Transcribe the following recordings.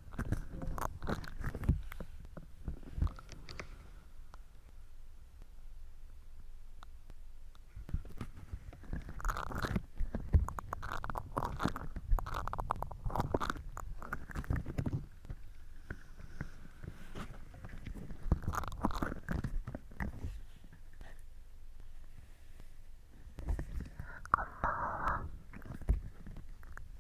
こんばん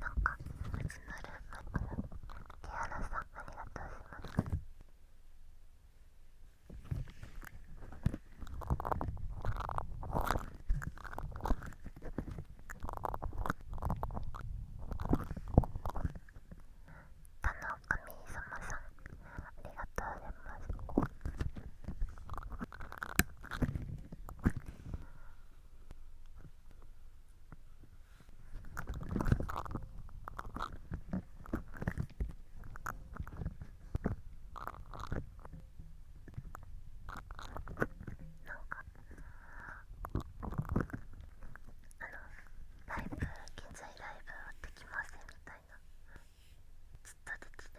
なんかうちのルームからティアラさんありがとうございます田の神様さんありがとうございますか。あの、ライブ現在ライブできませんみたいなずっと出てて。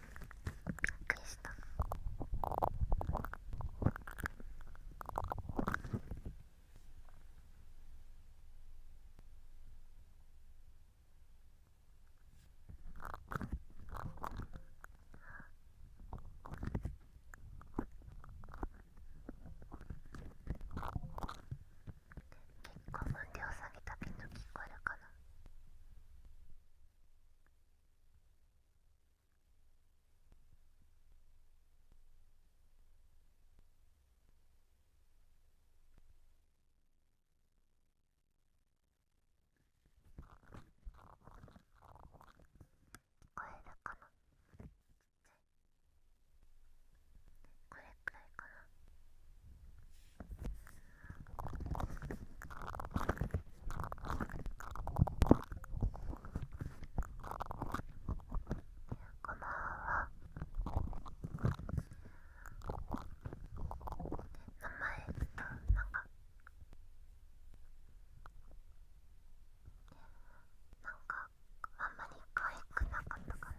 びっくりした結構分量下げたピンの聞こえるかなこえるかなこれくらいかなこん名前なんかなんかあんまり可愛くなかったかな。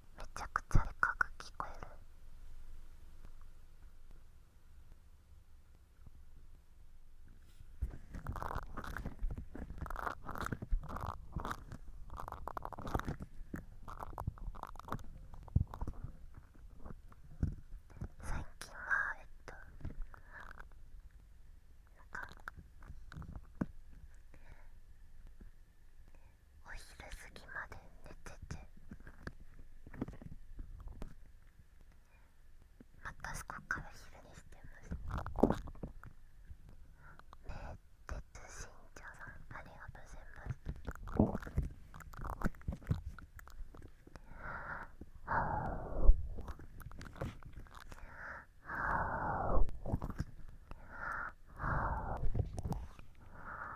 めちゃくちゃでかく聞こえる最近はえっとなんかお昼過ぎまで寝ててまたそこから昼にしてますねえ鉄新茶さんありがとうございますはあはあはあはあはあ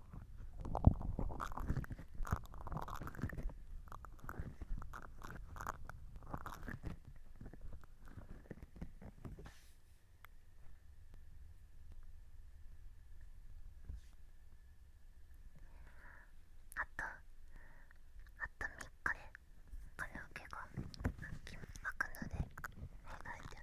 あとあと3日でカラオケが開くのでお願いいた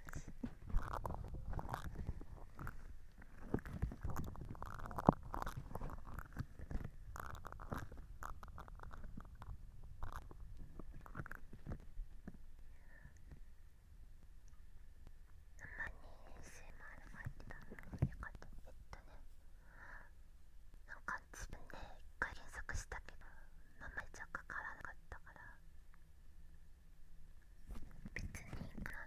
ます。ASMR 入ってたのよかったえっとねなんか自分で一回検索したけど名前じゃかからなかったから別にいいかな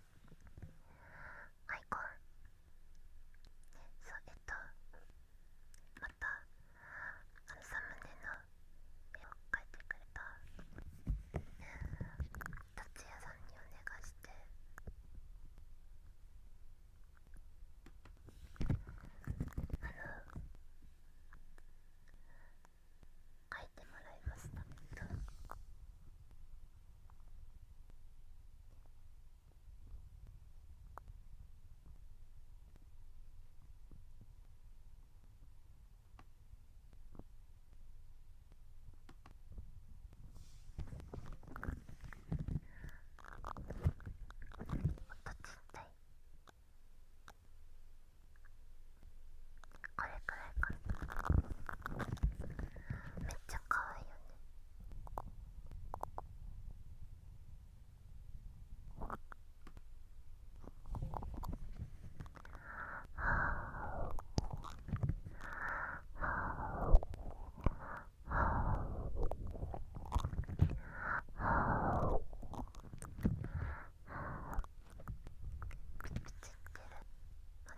アイコンそうえっとまたあのサムネの絵を描いてくれた達也さんにお願いしてあの書いてもらいましたこれくらいかなめっちゃ可愛いよねああ。ああ。ああ。ああ。ああ。マジで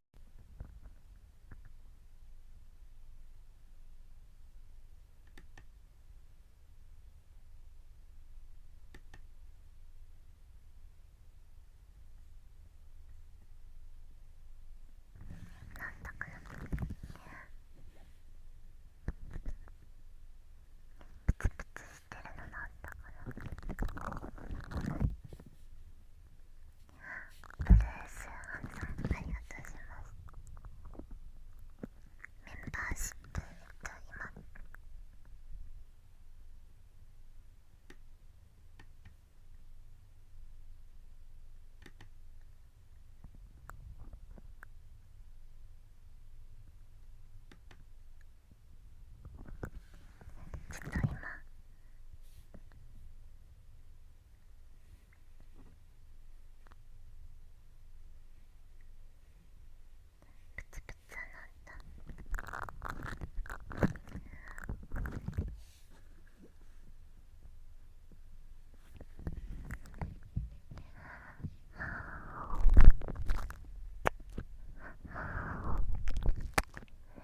だかプツプツしてるのなんだから。ブルースハンさありがとうございますメンバーシップと今ちょっと今プツプツなった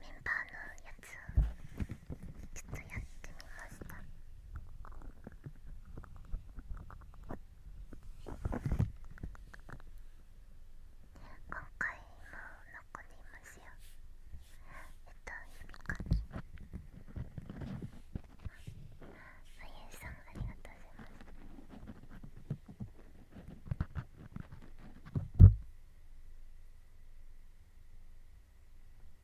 メンバーのやつをちょっとやってみました今回も残りますよえっと指かきあゆうさんありがとうございますえっと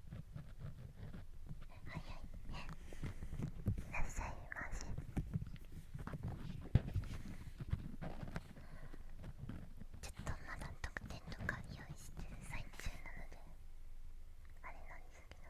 早いねいらっしゃいませちょっとまだ特典とか用意してる最中なのであれなんですけど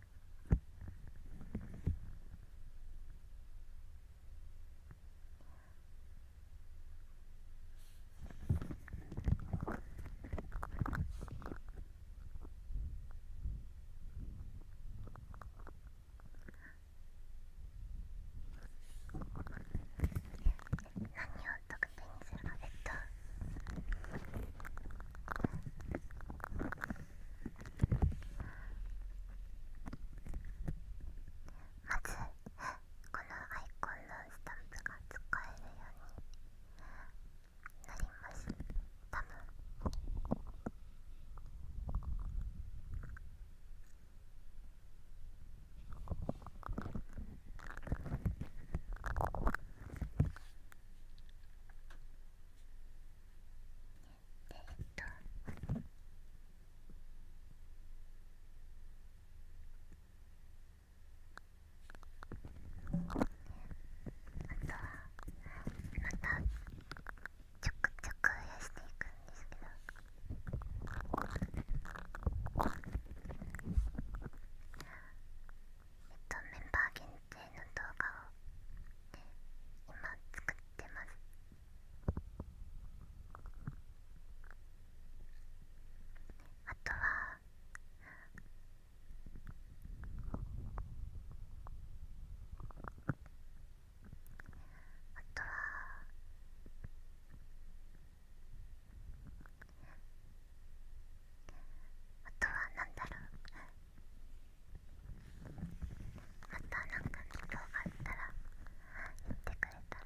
得点にするかえっと。まずこのアイコンのスタンプが使えるようになります多分ええっとあとはまたちょくちょく増やしていくんですけどえっとメンバー限定の動画を、今作ってますあとはあとはあとはなんだろうまたなんかのことがあったら言ってくれたら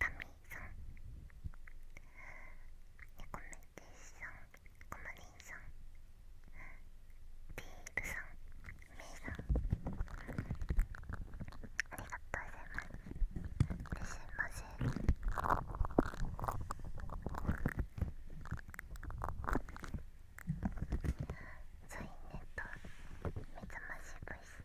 タミーさんコメティさんコマリンさんビールさんメイさんありがとうございますいらっしゃいませゾイネと目覚ましボイス。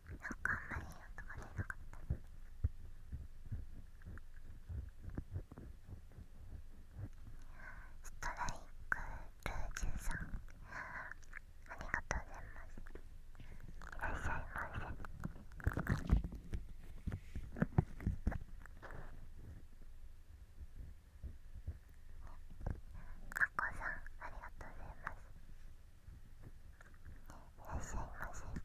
なんかあんまり音が出なかったストライクルージュさんありがとうございますいらっしゃいませまこさんありがとうございます。らっしゃませ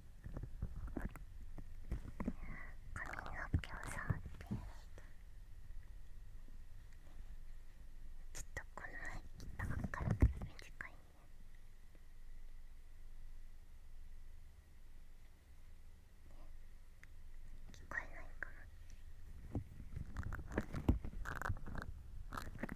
の毛を触ってちょっとこの前切ったばっかり短いね聞こえないかなこんな感じで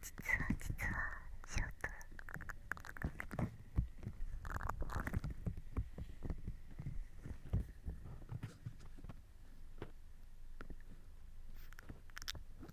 実は実はショート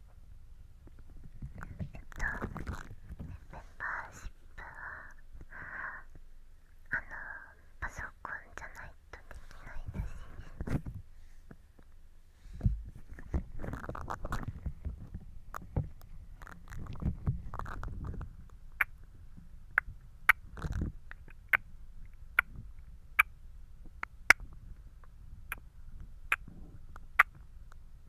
えっとメンバーシップはあのパソコンじゃないとできないだし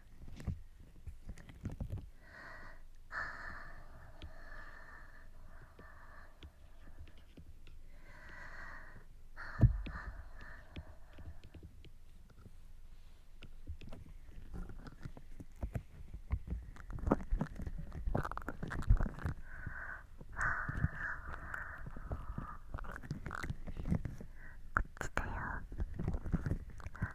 こっちだよ。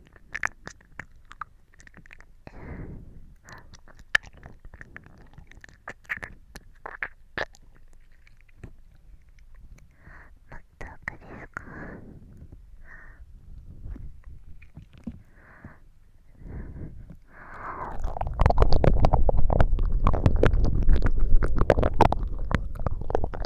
っ奥ですか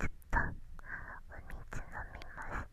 ちっとお水飲みます。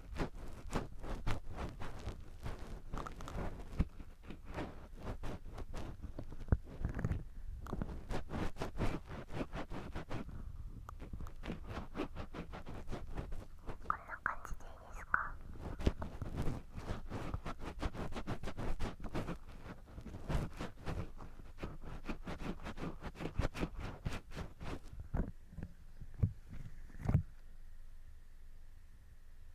こんな感じでいいですか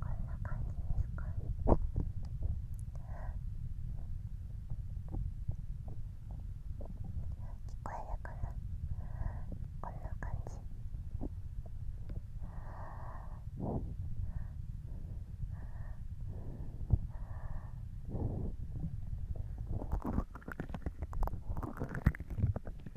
こんな感じですか聞こえるかなこんな感じ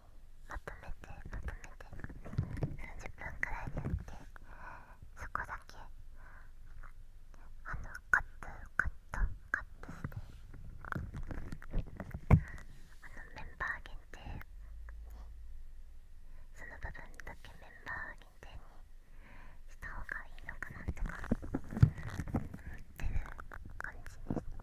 まとめてまとめて30分くらいでやってそこだけあのカットカットカットしてあのメンバー限定にその部分だけメンバー限定にした方がいいのかなとか思ってる感じです。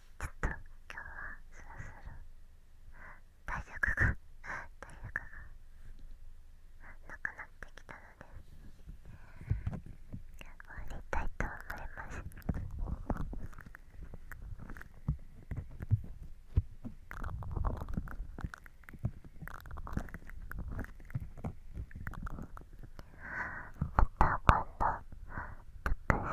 ちょっと今日はそろそろ体力が体力がなくなってきたので終わりたいと思いますまた今度、たくさ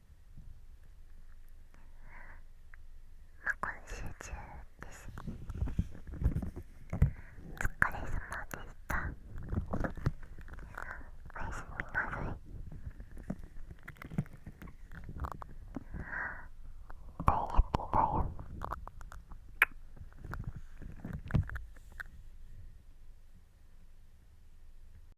まあ、今週中ですお疲れ様でしたおやすみなさい大好きだよ